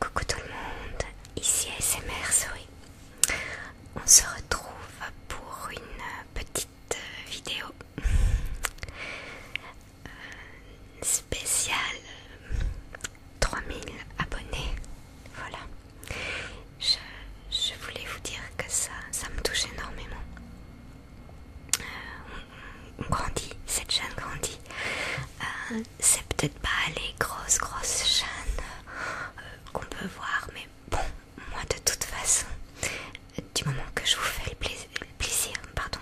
Coucou tout le monde, ici ASMR Souris. On se retrouve pour une petite vidéo euh, spéciale 3000 abonnés. Voilà. Je, voulais vous dire que ça, ça me touche énormément on grandit, cette chaîne grandit. Euh, c'est peut-être pas les grosses grosses chaînes euh, qu'on peut voir, mais bon, moi de toute façon, du moment que je vous fais le, plaisir, pardon,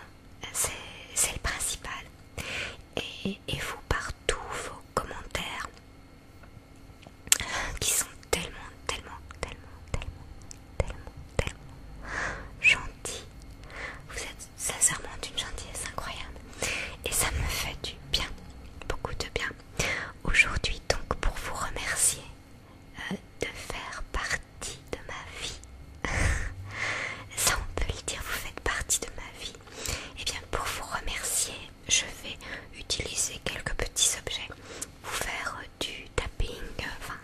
c'est le principal. Et, et vous, partout vos commentaires qui sont tellement, tellement, tellement, tellement, tellement, tellement gentil. Vous êtes sincèrement d'une gentillesse incroyable. Et ça me fait du bien, beaucoup de bien. Aujourd'hui donc pour vous remercier euh, de faire partie de ma vie. ça on peut le dire, vous faites partie de ma vie. Et eh bien pour vous remercier, je vais utiliser quelques petits objets vous faire du tapping, enfin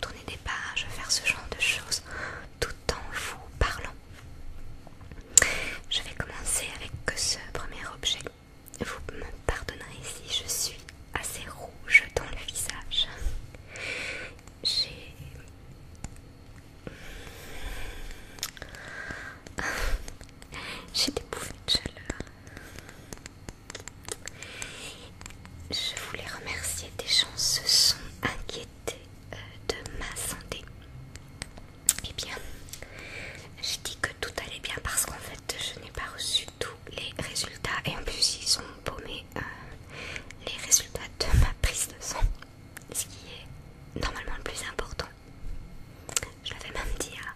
tourner des pages, faire ce genre de choses tout en vous parlant. Je vais commencer avec ce premier objet. Vous me pardonnerez si je suis assez rouge dans le visage. J'ai... J'ai des bouffées de chaleur. Je voulais remercier des gens se sont inquiétés euh, de ma santé. et eh bien, j'ai dit que tout allait bien parce qu'en fait, je n'ai pas reçu tous les résultats et en plus, ils ont paumé euh, les résultats de ma prise de sang, ce qui est normalement le plus important. Je l'avais même dit à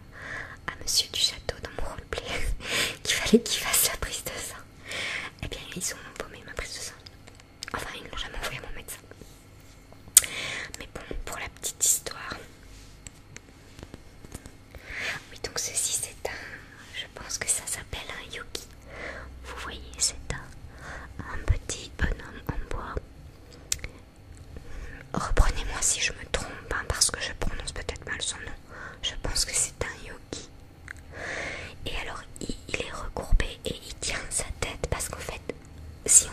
à, Monsieur du Château dans mon roleplay qu'il fallait qu'il fasse la prise de sang. Et eh bien, ils ont vomi ma prise de sang. Enfin, ils jamais envoyé mon médecin. Mais bon, pour la petite histoire. Oui, donc ceci, c'est un. Je pense que ça s'appelle un Yuki. Vous voyez, c'est un, petit bonhomme en bois. Reprenez-moi si je me trompe, hein, parce que je prononce peut-être mal son nom je pense que c'est un yogi. Et alors il, est recourbé et il tient sa tête parce qu'en fait, si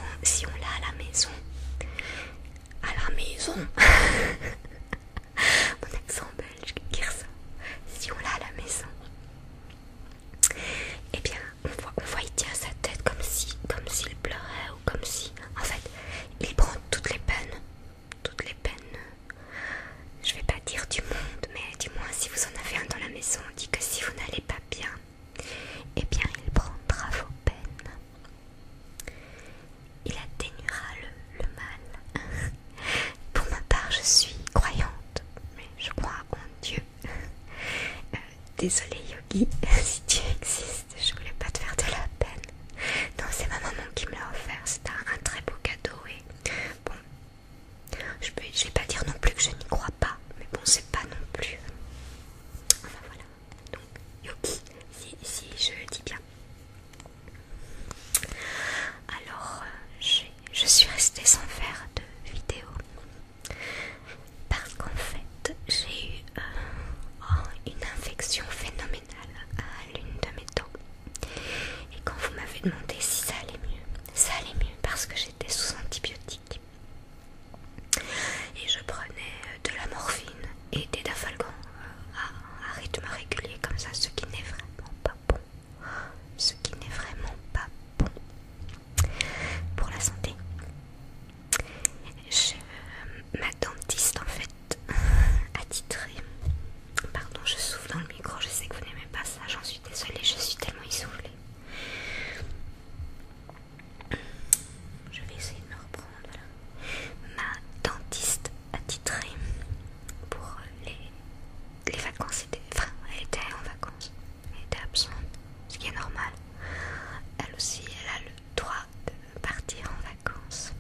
on, l'a à la maison, à la maison, mon accent belge qui ça si on l'a à la maison, et eh bien on voit, on voit il tient sa tête comme si, comme s'il pleurait ou comme si, en fait, il prend toutes les peines toutes les peines, je vais pas dire du monde, mais du moins si vous en avez un dans la maison, on dit que si vous n'allez pas bien, et eh bien il prendra vos peines. Il atténuera le, mal. Pour ma part, je suis croyante, mais je crois en Dieu. Euh, Désolé Yogi, si tu existe, je voulais pas te faire de la peine. Non, c'est ma maman qui me l'a offert. C'est un, très beau cadeau et bon, je ne vais pas dire non plus que je n'y crois pas, mais bon, c'est pas non plus. voilà. Donc Yoki, si, je dis bien. Alors, euh, je, suis restée sans faire de vidéo parce qu'en fait, j'ai eu euh, oh, une infection phénoménale à l'une de mes dents. Et quand vous m'avez demandé si ça allait mieux, ça allait mieux parce que j'étais sous antibiotiques. Et je prenais euh, de la morphine et des dafalgans euh, à, rythme régulier comme ça, ce qui n'est vraiment pas bon. Ce qui n'est vraiment pas bon pour la santé. Euh, ma dentiste en fait attitré attitrée. Pardon, je souffle dans le micro, je sais que vous n'aimez pas ça, j'en suis désolée, je suis tellement essoufflée. Je vais essayer de me reprendre, Ma dentiste attitrée pour les, vacances, elle était en vacances, elle était absente, ce qui est normal. Elle aussi, elle a le droit de partir en vacances.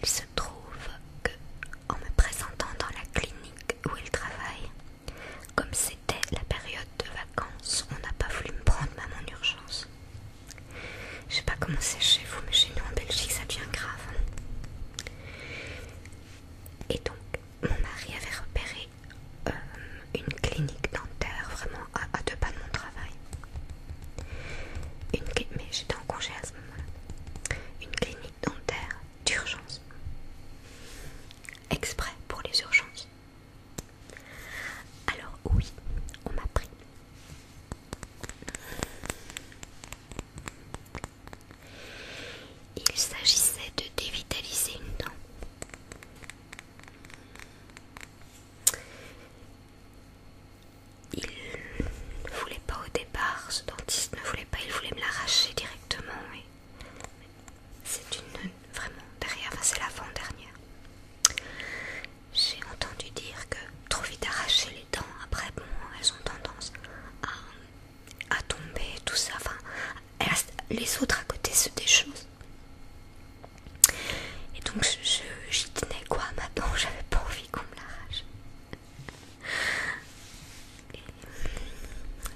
Il se trouve que, en me présentant dans la clinique où il travaille, comme c'était la période de vacances, on n'a pas voulu me prendre même en urgence. Je sais pas comment c'est chez vous, mais chez nous en Belgique ça devient grave. Hein. Et donc, mon mari avait repéré euh, une clinique dentaire vraiment à, deux pas de mon travail. Une, mais j'étais en congé à ce moment-là. Une clinique dentaire d'urgence. Exprès pour les urgences. Alors oui, on m'a pris. Il s'agissait de dévitaliser une dent. Il ne voulait pas au départ, ce dentiste ne voulait pas, il voulait me l'arracher directement. C'est une vraiment derrière, c'est l'avant-dernière. J'ai entendu dire que trop vite arracher les dents, après bon, elles ont tendance à à tomber, tout ça. Enfin, les autres à côté, se déchaussent Et donc, j'y tenais quoi madame J'avais pas envie qu'on me l'arrache.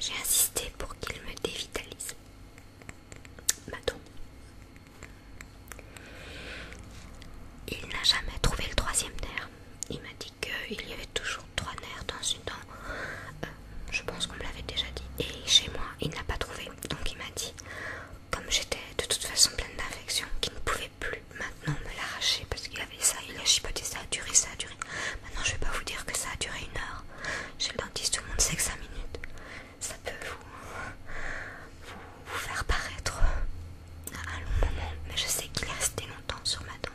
J'ai insisté pour qu'il me dévitalise. madame Il n'a jamais trouvé le troisième terme il m'a dit qu'il y avait toujours trois nerfs dans une dent. Euh, je pense qu'on me l'avait déjà dit. Et chez moi, il n'a pas trouvé. Donc il m'a dit, comme j'étais de toute façon pleine d'infections, qu'il ne pouvait plus maintenant me l'arracher parce qu'il avait ça, il a chipoté, ça a duré, ça a duré. Maintenant, je vais pas vous dire que ça a duré une heure. Chez le dentiste, tout le monde sait que 5 minutes. Ça peut vous, faire paraître un long moment, mais je sais qu'il est resté longtemps sur ma dent.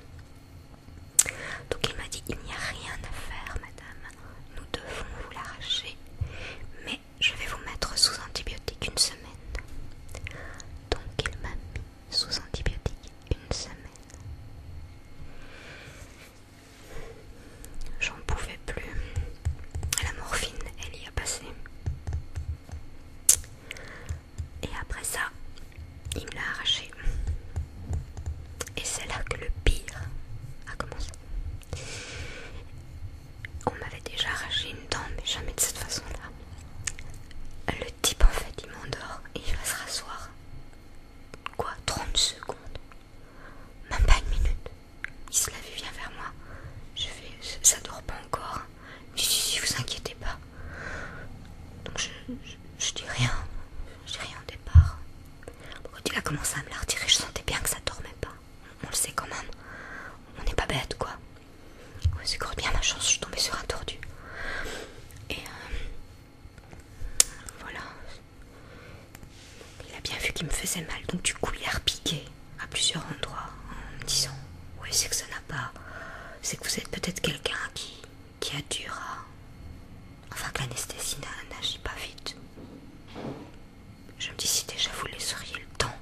Donc il m'a dit il n'y a rien à faire madame, nous devons vous l'arracher, mais je vais vous mettre sous antibiotique une semaine. Donc il m'a mis sous antibiotique une semaine. J'en pouvais plus. La morphine, elle y a passé. Et après ça, il me l'a arraché. Et c'est là que le pire a commencé. On m'avait déjà arraché une dent, mais jamais de cette façon-là. Le type en fait il m'endort et il va se rasseoir. Quoi 30 secondes Même pas une minute. Il se lève et vient vers moi. Je fais. Ça dort pas encore. Si, vous inquiétez pas. Donc je, dis rien. Je rien au départ. il a commencé à me la retirer, je sentais bien que ça dormait pas. On le sait quand même. On n'est pas bête, quoi. c'est quand bien ma chance, je suis tombée sur un tordu. Et euh, voilà. Il a bien vu qu'il me faisait mal, donc du coup il a repiqué à plusieurs endroits en me disant Oui, c'est que ça n'a pas. C'est que vous êtes peut-être quelqu'un qui qui a dur Enfin que l'anesthésie n'agit pas vite. Je me dis si déjà vous laisseriez le temps.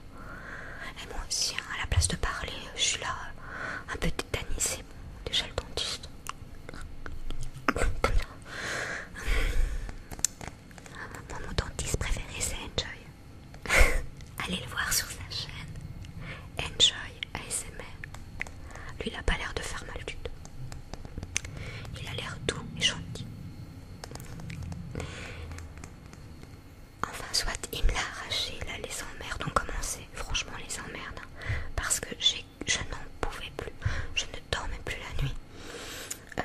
Et moi aussi, hein, à la place de parler, je suis là un peu bon. Déjà le dentiste. Moi, mon dentiste préféré c'est Enjoy. allez le voir sur sa chaîne Enjoy ASMR. Lui, il a pas l'air de faire mal du tout. Il a l'air doux et gentil. Enfin, soit il me l'a arraché, là, les emmerdes ont commencé. Franchement, les emmerdes. Hein. parce que je n'en pouvais plus. Je ne dormais plus la nuit. Euh,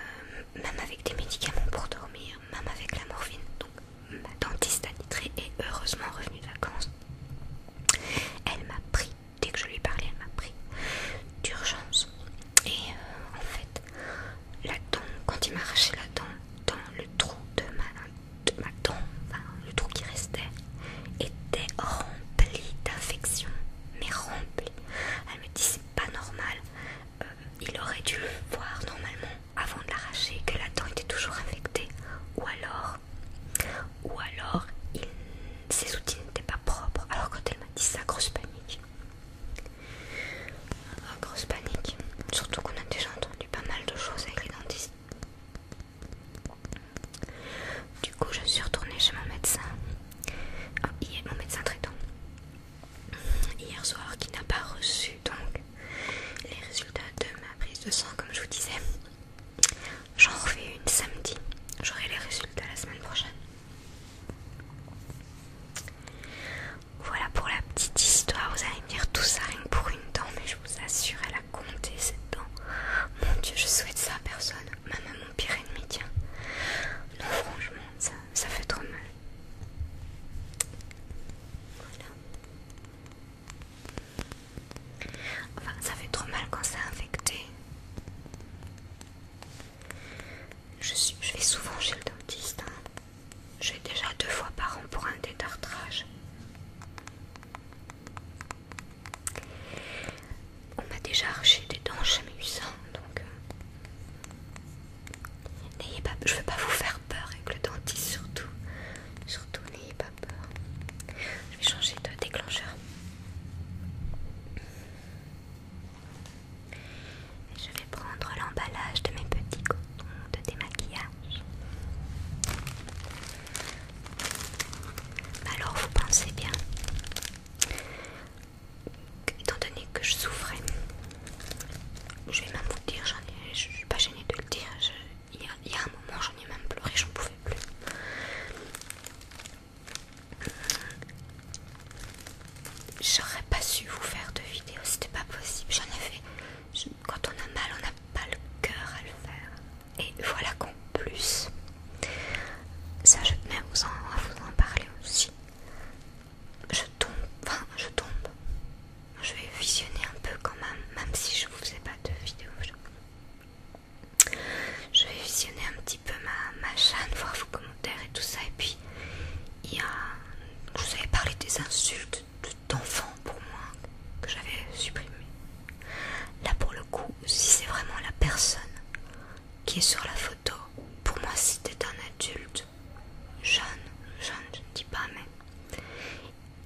même avec des médicaments pour dormir, même avec la morphine. Donc, Ma dentiste attitrée est heureusement revenue de vacances. Elle m'a pris, dès que je lui ai parlé, elle m'a pris d'urgence. Et euh, en fait, la dent, quand il m'a arraché la dent, dans le trou de ma, dent, le trou qui restait, était rempli d'infection. Mais rempli. Elle me dit c'est pas normal. Euh, il aurait dû le voir normalement avant de l'arracher que la dent était toujours infectée. Ou alors ou alors ses outils n'étaient pas propres. Alors quand elle m'a dit ça, grosse panique. Ah, grosse panique. Surtout qu'on a déjà entendu pas mal de choses avec les Du coup, je suis retournée chez mon médecin. Ah, mon médecin traitant. Hier soir, qui n'a pas reçu donc les résultats de ma prise de sang, comme je vous disais. J'en refais une samedi. J'aurai les résultats la semaine prochaine. Voilà pour la petite histoire. Vous allez me dire tout ça rien que pour une dent, mais je vous assure, elle a compté cette dent. Mon Dieu, je souhaite ça à personne, même à mon pire ennemi, tiens. Non, franchement, ça, ça fait trop mal. Voilà. Enfin, ça fait trop mal quand c'est infecté. Je, vais souvent chez le dentiste. Hein. Je vais déjà deux fois par an pour un détartrage. On m'a déjà arraché des dents, j'ai jamais eu donc euh, n'ayez pas, je veux pas vous faire peur avec le dentiste surtout, surtout n'ayez pas je vais changer de déclencheur. je vais prendre l'emballage de mes petits cotons de démaquillage. Alors vous pensez bien, étant donné que je souffrais, je vais même vous dire, j'en ai, je suis pas gênée de le dire, il y, a, un moment j'en ai même pleuré, j'en pouvais plus. J'aurais pas su vous faire de vidéo, c'était pas possible. J'en ai fait, quand on a mal, on n'a pas le cœur à le faire. Et voilà qu'en plus, ça je tenais à vous en, vous en parler aussi. Je tombe, enfin je tombe. Je vais visionner un peu quand même, même si je vous faisais pas de vidéo. Je vais visionner un petit peu ma, chaîne, voir vos commentaires et tout ça. Et puis, il y a, je vous avais parlé des insultes d'enfants pour moi que j'avais supprimées. Là, pour le coup, si c'est vraiment la personne qui est sur la photo, pour moi, si c'était un adulte jeune, jeune, je ne dis pas, mais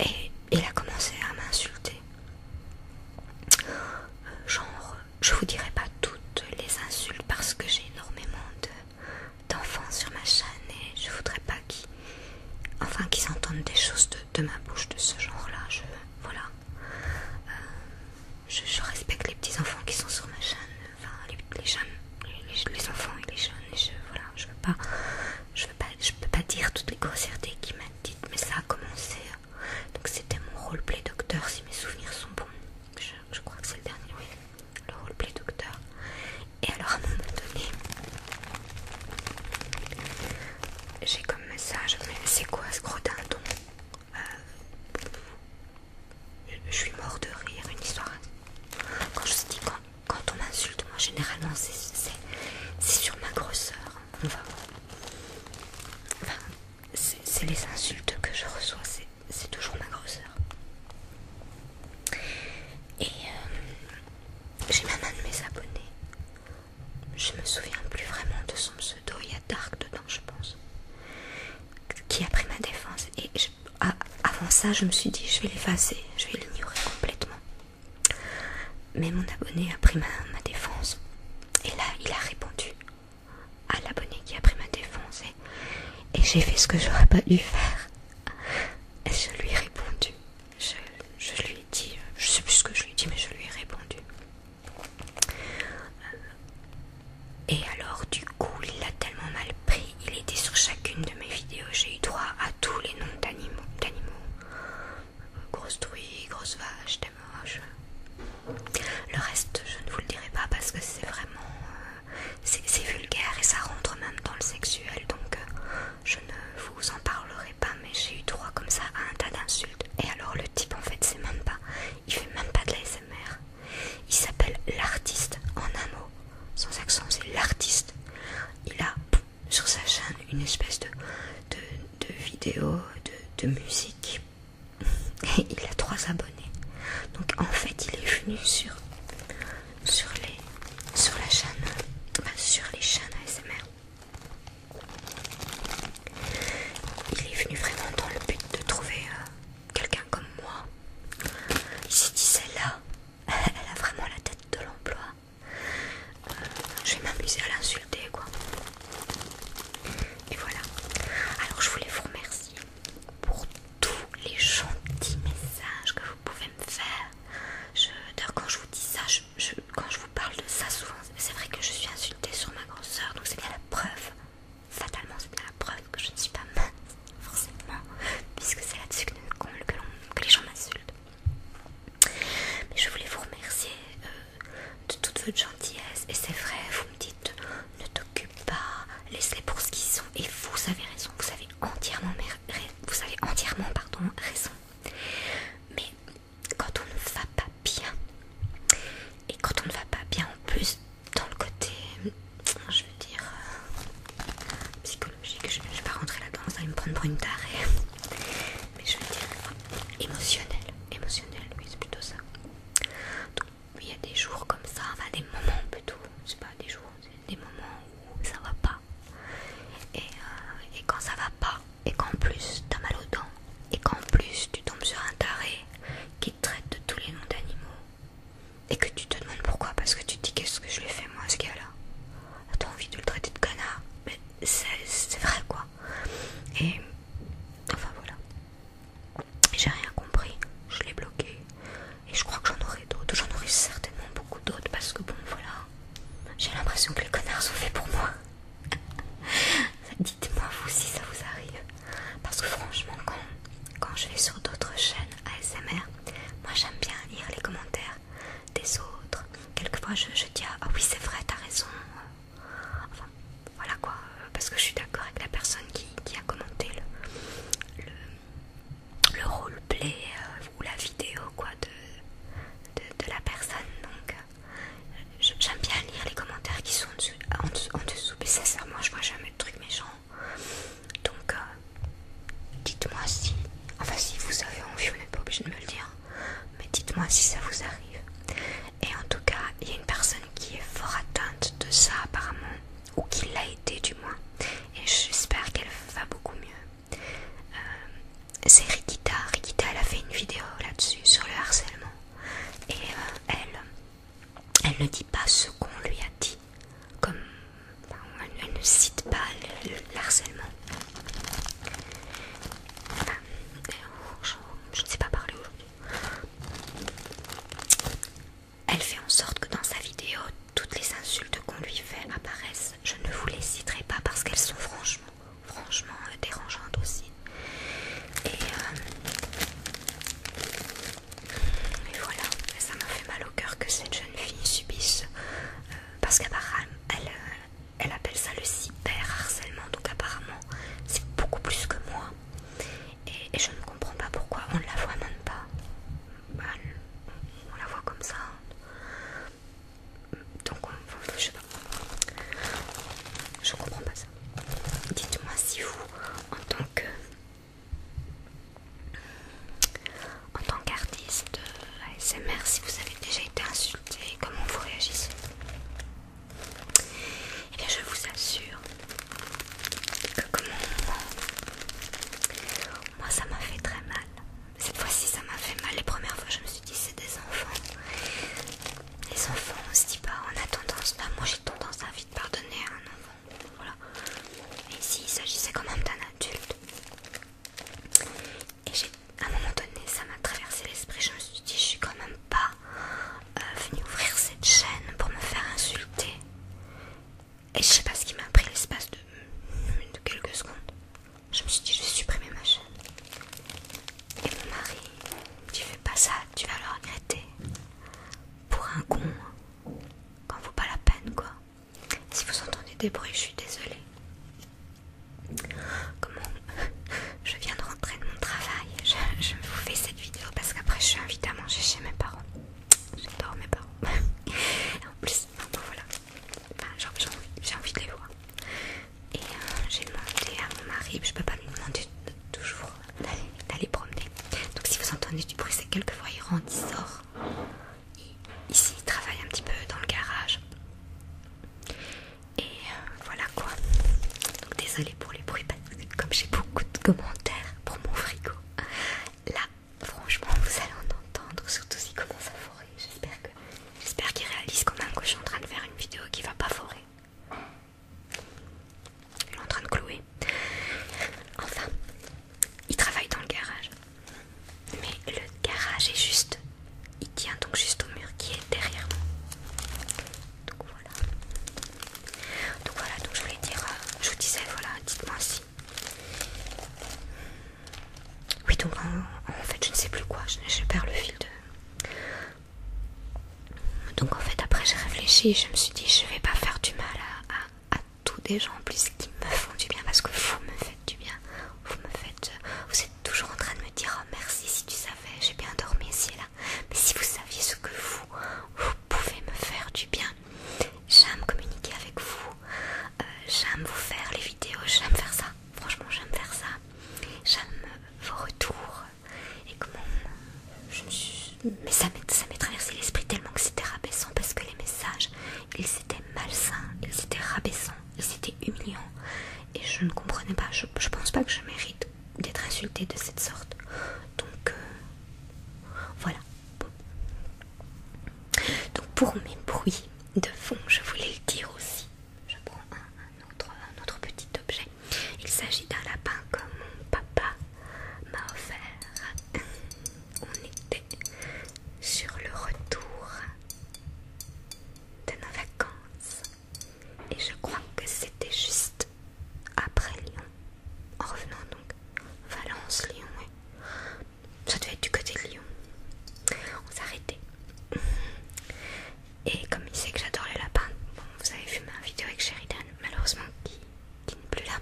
et il a commencé à m'insulter. Genre, je vous dirai pas toutes les insultes parce que j'ai énormément d'enfants sur ma chaîne et je voudrais pas qu'ils enfin, qu'ils entendent des choses de, ma bouche de ce genre-là. Je, voilà. Euh, je, respecte les petits enfants qui sont sur ma chaîne, enfin les, jeunes, les, enfants et les jeunes. je, voilà, je veux pas, je veux pas, je peux pas dire toutes les grossièretés qui dites mais ça a commencé. Hein. Donc c'était mon roleplay docteur si mes souvenirs sont bons. Je, crois que c'est le dernier, oui. Le roleplay docteur. Et alors à un moment donné, j'ai comme message, mais c'est quoi ce gros dindon euh, Je suis mort de rire, une histoire. Quand je dis quand, quand on m'insulte, moi généralement c'est sur ma grosseur c'est les insultes que je reçois, c'est toujours ma grosseur. Et euh, j'ai même un de mes abonnés. Je me souviens plus vraiment de son pseudo, il y a Dark dedans, je pense. Qui a pris ma défense. Et avant ça, je me suis dit, je vais l'effacer, je vais l'ignorer complètement. Mais mon abonné a pris ma, défense. Et là, il a répondu à l'abonné qui a pris ma défense. Et, j'ai fait ce que j'aurais pas dû faire. Et je lui ai répondu. Je, lui ai dit, je sais plus ce que je lui ai dit, mais je lui ai répondu. Euh, et alors, du coup, il l'a tellement mal pris. Il était sur chacune de mes vidéos. J'ai eu droit à tous les noms d'animaux. Grosse truie, grosse vache, t'es moche. Le reste, je ne vous le dirai pas parce que c'est vraiment. Euh, c'est vulgaire et ça rentre même dans le sexuel donc euh, je ne vous en parlerai pas. Mais j'ai eu droit comme ça à un tas d'insultes. Et alors, le type en fait, c'est même pas. Il fait même pas de la Il s'appelle l'artiste en un mot. Sans accent, c'est l'artiste. Il a sur sa chaîne une espèce de, vidéo de, musique et il a trois abonnés. Donc en fait il est venu sur, sur, les, sur la chaîne, sur les chaînes ASMR. Il est venu vraiment dans le but de trouver euh, quelqu'un comme moi. Il s'est dit celle-là, elle a vraiment la tête de l'emploi je vais m'amuser à l'insulter quoi. Et voilà. Alors je voulais vous remercier pour tous les gentils messages que vous pouvez me faire. D'ailleurs quand je vous dis ça, quand je vous parle de ça souvent, c'est vrai que je suis insultée sur ma grande donc c'est bien la preuve. Fatalement c'est bien la preuve que je ne suis pas mince, forcément, puisque c'est là-dessus que les gens m'insultent. Mais je voulais vous remercier euh, de toute votre gentillesse. Et c'est vrai, vous me dites ne t'occupe pas, laisse-les pour ce qu'ils sont. Et vous avez raison, vous avez entièrement, vous avez entièrement pardon, raison. Mais quand on ne va pas bien, et quand on ne va pas bien en plus, dans le côté, je veux dire, euh, psychologique, je ne vais pas rentrer là-dedans, ça va me prendre pour une tarée mais je veux dire émotionnel, émotionnel, oui c'est plutôt ça. Donc il y a des jours comme ça, enfin des moments plutôt, c'est pas des jours, des moments où ça va pas. Euh, et, quand ça va pas, et qu'en plus t'as mal aux dents, et qu'en plus tu tombes sur un taré qui traite de tous les noms d'animaux, et que tu te demandes pourquoi, parce que tu te dis qu'est-ce que je lui ai fait moi à ce gars-là. T'as envie de le traiter de canard mais c'est vrai quoi. Et enfin voilà. J'ai rien compris, je l'ai bloqué. Et je crois que j'en aurai d'autres, j'en aurai certainement beaucoup d'autres parce que bon voilà, j'ai l'impression que les connards sont fait pour moi. Dites-moi vous si ça vous arrive. Parce que franchement quand, quand je vais sur d'autres chaînes ASMR, moi j'aime bien lire les commentaires des autres. Quelquefois je, je dis ah oui c'est vrai, t'as raison. Enfin voilà quoi, parce que je suis d'accord avec la personne qui, a commenté le, le, roleplay euh, ou la vidéo quoi de, de, la personne. Donc j'aime bien lire les commentaires qui sont en dessous, mais sincèrement moi je vois jamais de trucs méchants. Donc euh, dites-moi si, enfin si vous avez envie, vous n'êtes pas obligé de me le dire mais dites-moi si ça vous arrive. Et en tout cas, il y a une personne qui est fort atteinte de ça apparemment, ou qui l'a été du moins, et j'espère qu'elle va beaucoup mieux. Euh, c'est Rikita. Rikita, elle a fait une vidéo là-dessus, sur le harcèlement. Et euh, elle, elle ne dit pas ce qu'on lui a dit, comme elle, ne cite pas le, harcèlement. Oh, je, ne sais pas parler aujourd'hui. Elle fait en sorte que dans sa vidéo, toutes les insultes qu'on lui fait apparaissent. Je ne vous les citerai pas parce qu'elles sont franchement, franchement euh, dérangeantes aussi. Euh, et, voilà, ça m'a fait mal au cœur que cette jeune fille subisse, euh, parce qu'apparemment elle, elle appelle ça le cyberharcèlement, donc apparemment c'est beaucoup plus que moi. Et, je ne comprends pas pourquoi on ne la voit même pas. on la voit comme ça. Donc, on, je sais pas. Je comprends pas ça. Dites-moi si vous, en tant que. En tant qu'artiste euh, ASMR, si vous avez déjà été insulté et comment vous réagissez. Et eh bien, je vous assure que comme moi, ça m'a fait très mal. Cette fois-ci, ça m'a fait mal. Les premières fois, je me suis dit, c'est des enfants. Les enfants, on se dit pas, on a tendance, bah, moi j'ai tendance à vite pardonner à un enfant. Voilà. Mais ici, il s'agissait quand même d'un adulte. Et j'ai à un moment donné, ça m'a traversé l'esprit. Je me suis dit, je suis quand même pas euh, venue ouvrir cette chaîne pour me faire insulter. Et je sais pas ce qui m'a pris l'espace de, quelques secondes. Je me suis dit, je vais supprimer ma chaîne. Et mon mari, tu fais pas ça, tu vas le regretter. Pour un con, quand vaut pas la peine quoi. Si vous entendez des bruits, je suis désolée. Comment je viens de rentrer de mon travail, je, vous fais cette vidéo parce qu'après je suis invitée à manger chez mes parents. J'adore mes parents. en plus, voilà, j'ai envie, de les voir. Et euh, j'ai demandé à mon mari, je peux pas me demander toujours d'aller promener. Donc si vous entendez du bruit, c'est quelquefois il rentre, il sort. ici, il travaille un petit peu dans le garage. Et euh, voilà quoi. Donc désolé pour les bruits parce que comme j'ai beaucoup de commentaires pour mon frigo, là franchement vous allez en entendre, surtout s'il commence à forer. J'espère j'espère qu'il réalise qu'on a un suis en train de faire une vidéo qui va pas forer. Il est en train de clouer. Enfin, il travaille dans le garage. Mais le garage est juste il tient donc juste au mur qui est derrière moi, Donc voilà. Donc voilà, donc je voulais dire, euh, je vous disais, voilà, dites-moi si. Oui, donc en, fait, je ne sais plus quoi, je, perds le fil de. Donc en fait, après, j'ai réfléchi et je me suis dit, je vais pas faire du mal à, à tous des gens en plus qui me font du bien parce que vous me faites du bien. Vous me faites. Euh, vous êtes toujours en train de me dire oh, merci si tu savais, j'ai bien dormi ici et là. Mais si vous saviez ce que vous, vous pouvez me faire du bien. J'aime communiquer avec vous, euh, j'aime vous faire les vidéos, j'aime faire ça. Franchement, j'aime faire ça. J'aime vos retours et comment je suis... Mais ça m'est traversé l'esprit tellement que c'était rabaissant parce que les messages, ils étaient malsains, ils étaient rabaissants c'était humiliant. Et je ne comprenais pas, je, pense pas que je mérite d'être insultée de cette sorte. Donc euh, voilà. Donc pour mes bruits de fond, je voulais le dire aussi. Je prends un, autre, un autre petit objet. Il s'agit d'un lapin que mon papa m'a offert. On était sur le retour de nos vacances et je crois que c'était juste après Lyon. En revenant donc, Valence, Lyon, Ça devait être du côté de Lyon. On s'arrêtait. Et comme il sait que j'adore les lapins, vous avez vu ma vidéo avec Sheridan, malheureusement qui, n'est plus là.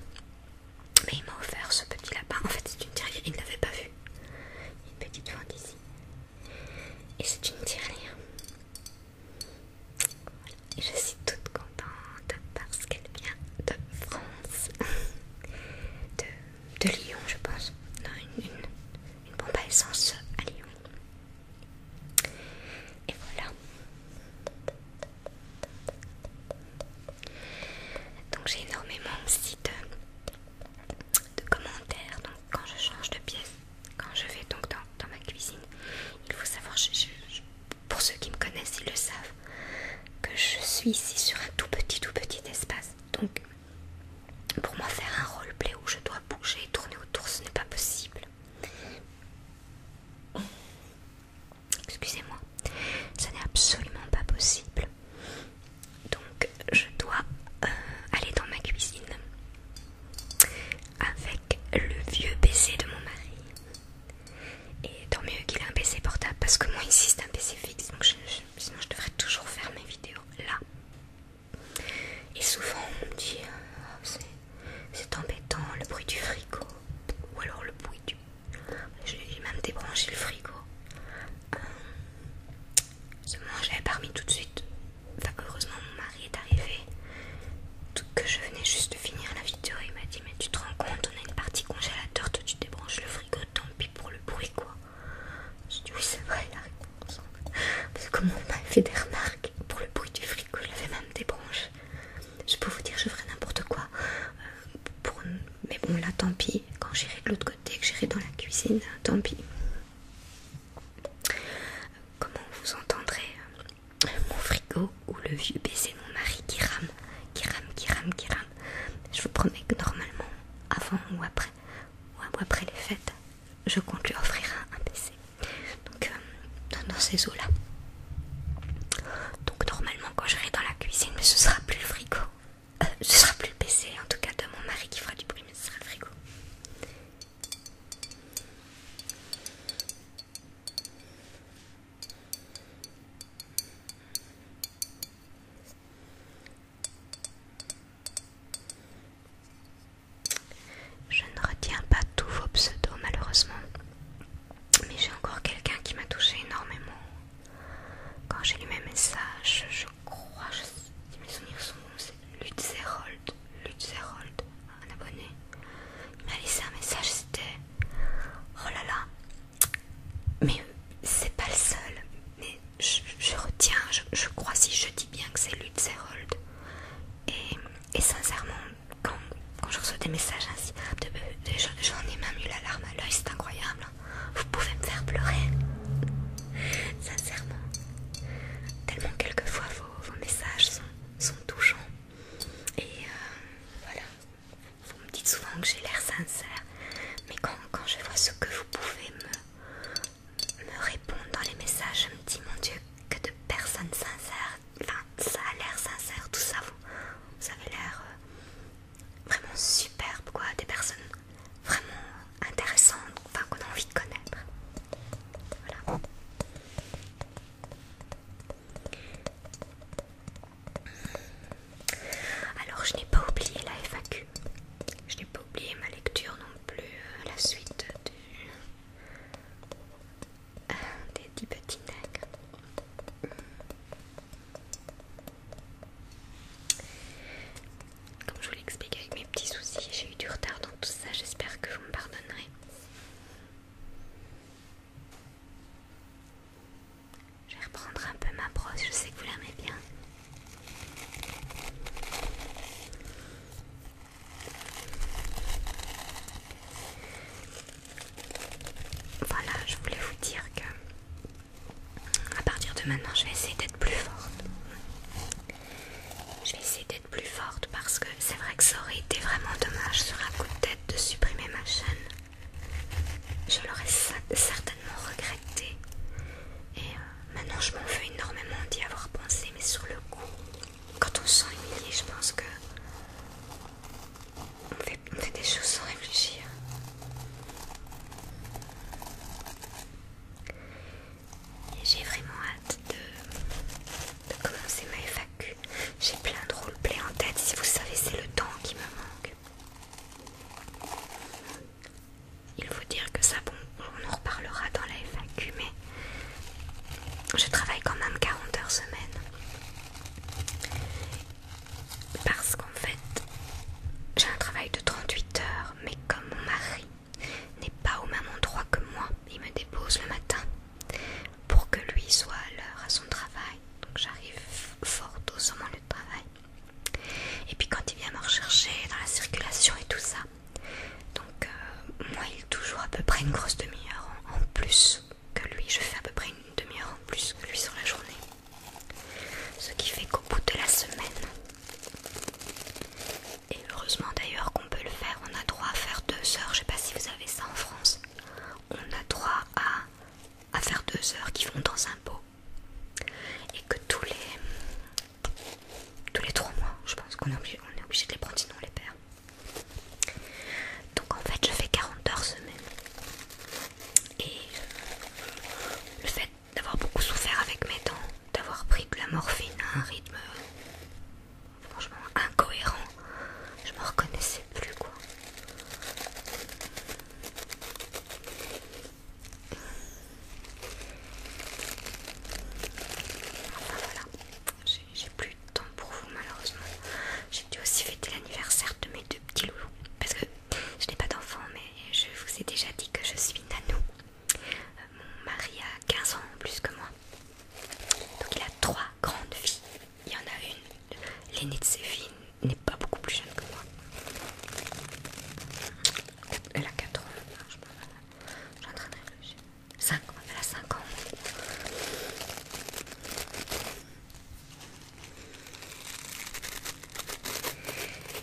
Mais il m'a offert ce petit lapin. En fait, c'est une Terrier, il ne l'avait pas vu. Il y a une petite fente ici. Et c'est une ne je suis toute contente parce qu'elle vient de France, de, Lyon, je pense. Non, une, pompe à essence à Lyon. Et voilà. Donc j'ai énormément aussi de, de commentaires. Donc, quand je change de pièce, quand je vais donc dans, ma cuisine, il faut savoir, pour ceux qui me connaissent, ils le savent, que je suis ici sur un tout petit, tout petit espace. Donc, pour moi, faire un roleplay où je dois bouger et tourner autour, ce n'est pas possible. Excusez-moi, ce n'est absolument pas possible. Donc, je dois euh, aller dans ma cuisine avec le vieux PC de mon mari. Et tant mieux qu'il a un PC portable parce que moi ici c'est un PC fixe donc sinon je devrais toujours faire mes vidéos là. Et souvent on me dit euh, c'est embêtant le bruit du frigo ou alors le bruit du. je J'ai même débranché le frigo. je mangeais parmi tout de suite enfin, heureusement mon mari est arrivé, tout que je venais juste de finir la vidéo, il m'a dit mais tu te rends compte, on a une partie congélateur, toi tu débranches le frigo, tant pis pour le bruit quoi. J'ai dit oui c'est vrai la réponse, parce que mon on fait des remarques pour le bruit du frigo, je l'avais même débranché. Je peux vous dire je ferais n'importe quoi, euh, pour... mais bon là tant pis, quand j'irai de l'autre côté, que j'irai dans la cuisine, tant pis. Comment vous entendrez euh, mon frigo ou le vieux PC de mon mari qui rame, qui rame, qui rame, qui rame Je vous promets que normalement, avant ou après, ou après les fêtes, je compte lui offrir un, PC. Donc euh, dans ces eaux là. Donc normalement quand j'irai dans la cuisine, mais ce sera plus le frigo. Ce euh, ce sera plus le PC, en tout cas de mon mari qui fera du bruit, mais ce sera le frigo. Je ne retiens pas tous vos pseudos malheureusement, mais j'ai encore quelqu'un qui m'a touché énormément. Quand j'ai lu mes messages, je crois, je, mes souvenirs sont bons, Lutzerold, Lutzerold, un abonné, il m'a laissé un message, c'était Oh là là, mais c'est pas le seul, mais je, retiens, je, crois si je dis bien que c'est Lutzerold. Et, et sincèrement, quand, je reçois des messages j'en ai même eu la larme à l'œil, c'est incroyable. Hein. Vous pouvez me faire pleurer, sincèrement. Tellement quelquefois vos, messages sont, touchants. Et euh, voilà, vous me dites souvent que j'ai l'air sincère, mais quand, quand je vois ce que vous pouvez me, me répondre dans les messages, je me dis mon Dieu, que de personnes sincères, enfin ça a l'air sincère, tout ça, vous, avez l'air euh, vraiment superbe, quoi, des personnes vraiment intéressantes, enfin qu'on a envie de connaître. Alors je n'ai pas oublié la FAQ. Je n'ai pas oublié ma lecture non plus, euh, la suite du... Euh, des 10 petits nègres. Comme je vous l'ai expliqué avec mes petits soucis, j'ai eu du retard dans tout ça, j'espère que vous me pardonnerez. Je vais reprendre un peu ma brosse, je sais que vous l'aimez bien. Voilà, je voulais vous dire que à partir de maintenant, je vais essayer d'être plus forte. Je vais essayer plus forte parce que c'est vrai que ça aurait été vraiment dommage sur un coup de tête de supprimer ma chaîne. Je l'aurais certainement regretté. Et euh, maintenant je m'en veux énormément d'y avoir pensé, mais sur le coup, quand on se sent humilié, je pense que on fait des choses sans réfléchir. Et j'ai vraiment hâte de, commencer ma FAQ. J'ai plein de roleplay en tête, si vous savez, c'est le temps qui me manque. Il faut dire que ça, bon, on en reparlera dans la FAQ, mais je travaille quand même 40 heures semaine. Parce qu'en fait, j'ai un travail de 38 heures, mais comme mon mari n'est pas au même endroit que moi il me dépose le matin pour que lui soit à l'heure à son travail donc j'arrive fort tôt au lieu travail et puis quand il vient me rechercher dans la circulation et tout ça donc euh, moi il est toujours à peu près une grosse demi-heure en plus que lui je fais à peu près une demi-heure en plus que lui sur la journée ce qui fait qu'au bout de la semaine et heureusement d'ailleurs qu'on peut le faire, on a droit à faire deux heures, je sais pas si vous avez ça en France, on a droit à, à faire deux heures qui vont dans un pot. Et que tous les tous les trois mois, je pense qu'on est, obligé, est obligé de les prendre, sinon on les perd. Donc en fait je fais 40 heures semaine. Et le fait d'avoir beaucoup souffert avec mes dents, d'avoir pris de la morphine à un rythme franchement incohérent. Je me reconnaissais plus quoi. voilà, j'ai plus de temps pour vous malheureusement. J'ai dû aussi fêter l'anniversaire de mes deux petits loulous. Parce que je n'ai pas d'enfant, mais je vous ai déjà dit que je suis nano. Euh, mon mari a 15 ans en plus que moi. Donc il a trois grandes filles. Il y en a une, l'aînée de ses filles n'est pas beaucoup plus jeune que moi. Elle a 4 ans, je suis J'ai en train de 5 ans, elle a 5 ans.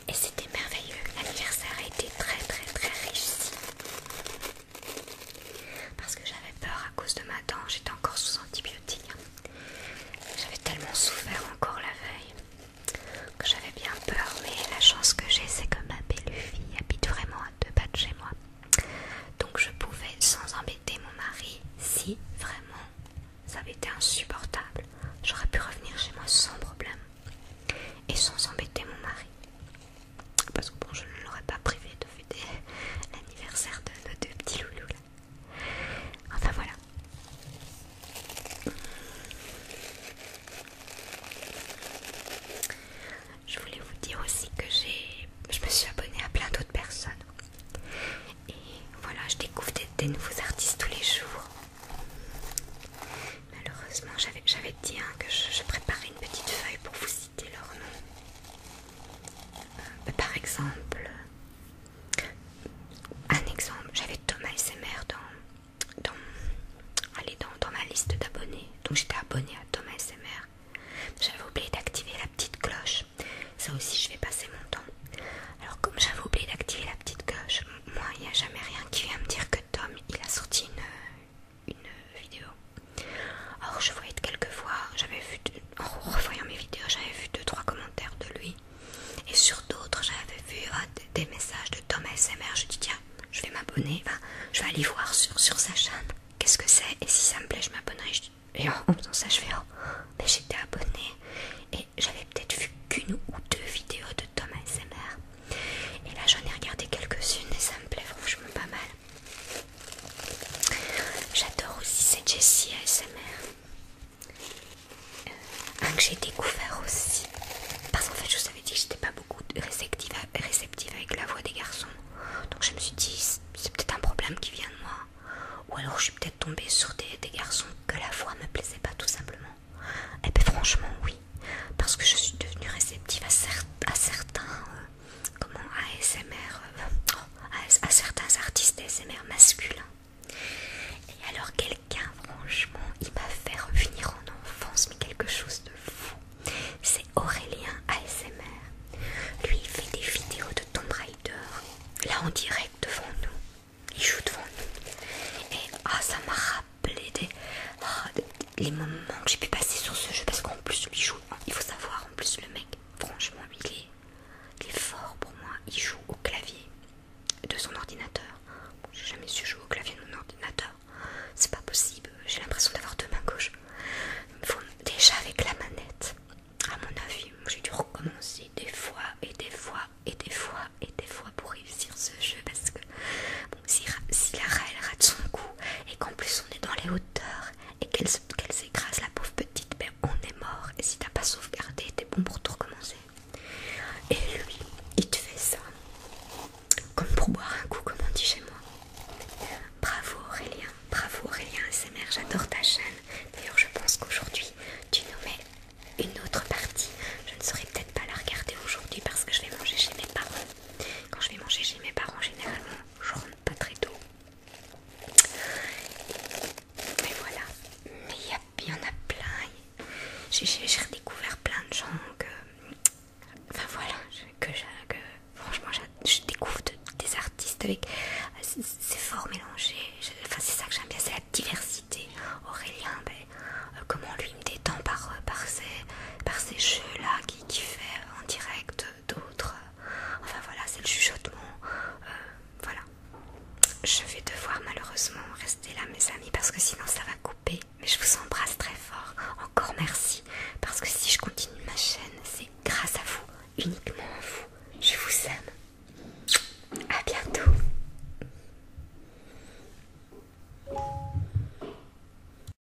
Et c'était merveilleux, l'anniversaire a été très très très réussi. Parce que j'avais peur à cause de ma dent, j'étais encore sous antibiotiques. J'avais tellement souffert encore la veille que j'avais bien peur, mais la chance que j'ai, c'est que ma belle fille habite vraiment à deux pas chez moi. Donc je pouvais, sans embêter mon mari, si vraiment ça avait été insupportable, j'aurais pu revenir chez moi sans problème et sans embêter mon mari. Parce que bon, je ne l'aurais pas privé de fêter l'anniversaire de nos deux petits loulous Enfin voilà. Je voulais vous dire aussi que j'ai, je me suis abonnée à plein d'autres personnes. Et voilà, je découvre des nouveaux artistes tous les jours. Malheureusement, j'avais dit hein, que je, préparais une petite feuille pour vous citer leur nom. Euh, par exemple, un exemple, j'avais Thomas SMR dans, dans, allez, dans, ma liste d'abonnés. Donc j'étais abonnée à Thomas SMR. J'avais oublié d'activer la petite cloche. Ça aussi, je vais passer mon temps. Alors, comme j'avais oublié d'activer la petite cloche, moi, il n'y a jamais rien qui vient me dire que Tom, il a sorti une, une vidéo. Or, je voyais de quelques fois, j'avais vu, en revoyant mes vidéos, j'avais vu 2-3 commentaires de lui. Et sur d'autres, j'avais vu ah, des, messages de Thomas ASMR. Je dis, tiens, je vais m'abonner, je vais aller voir sur, sa chaîne qu'est-ce que c'est. Et si ça me plaît, je m'abonnerai. Et en faisant ça, je fais, oh, mais j'étais abonné Et j'avais peut-être vu qu'une ou deux vidéos de Thomas ASMR. Et là j'en ai regardé quelques-unes et ça me plaît franchement pas mal. J'adore aussi cette Jessie ASMR. Euh, un que j'ai découvert aussi. Parce qu'en fait je vous avais dit que j'étais pas beaucoup réceptive, avec la voix des garçons. Donc je me suis dit c'est peut-être un problème qui vient de moi. Ou alors je suis peut-être tombée sur des, des garçons que la voix me plaisait pas tout simplement. Et eh puis ben, franchement oui parce que je suis devenue réceptive à, certains, euh, comment, ASMR, euh, oh, à, certains artistes ASMR masculins. Et alors quelqu'un, franchement, il m'a fait revenir en enfance, mais quelque chose de fou. C'est Aurélien ASMR. Lui, il fait des vidéos de Tomb Raider, là en direct devant nous. Il joue devant nous. Et ah, ça m'a rappelé des, ah, les moments que j'ai pu passer sur ce jeu parce qu'en plus il joue, il faut savoir en plus le mec, franchement il est, fort pour moi, il joue au clavier de son ordinateur. j'ai jamais su jouer au clavier de mon ordinateur, c'est pas possible, j'ai l'impression d'avoir deux mains gauches. déjà avec la manette, à mon avis, j'ai dû recommencer des fois et des fois et des fois et des fois pour réussir ce jeu parce que si, la râle rate son coup et qu'en plus on est dans les hauteurs et qu'elle qu'elle s'écrase, la pauvre petite, ben, on est mort. Et si t'as pas sauvegardé, t'es bon pour tout recommencer. Et lui, il te fait ça comme pour boire un coup, comme on dit chez moi. Bravo Aurélien, bravo Aurélien SMR, j'adore ta chaîne. D'ailleurs, je pense qu'aujourd'hui, tu nous mets une autre partie. Je ne saurais peut-être pas la regarder aujourd'hui parce que je vais manger chez mes parents. Quand je vais manger chez mes parents, généralement, je rentre pas très tôt. Mais voilà. Mais il y, en a plein. J'ai redécouvert plein de gens que... Enfin voilà, que, franchement je découvre des artistes avec... C'est fort mélangé. c'est ça que j'aime bien, c'est la diversité. Aurélien, ben, euh, comment lui me détend par, euh, par par ces jeux-là qui, fait en direct d'autres. Enfin voilà, c'est le chuchotement. Euh, voilà. Je vais devoir malheureusement rester là mes amis parce que sinon ça va couper. Mais je vous embrasse très fort. Encore merci. Parce que si je continue ma chaîne, c'est grâce à vous. Uniquement à vous. Je vous aime. À bientôt.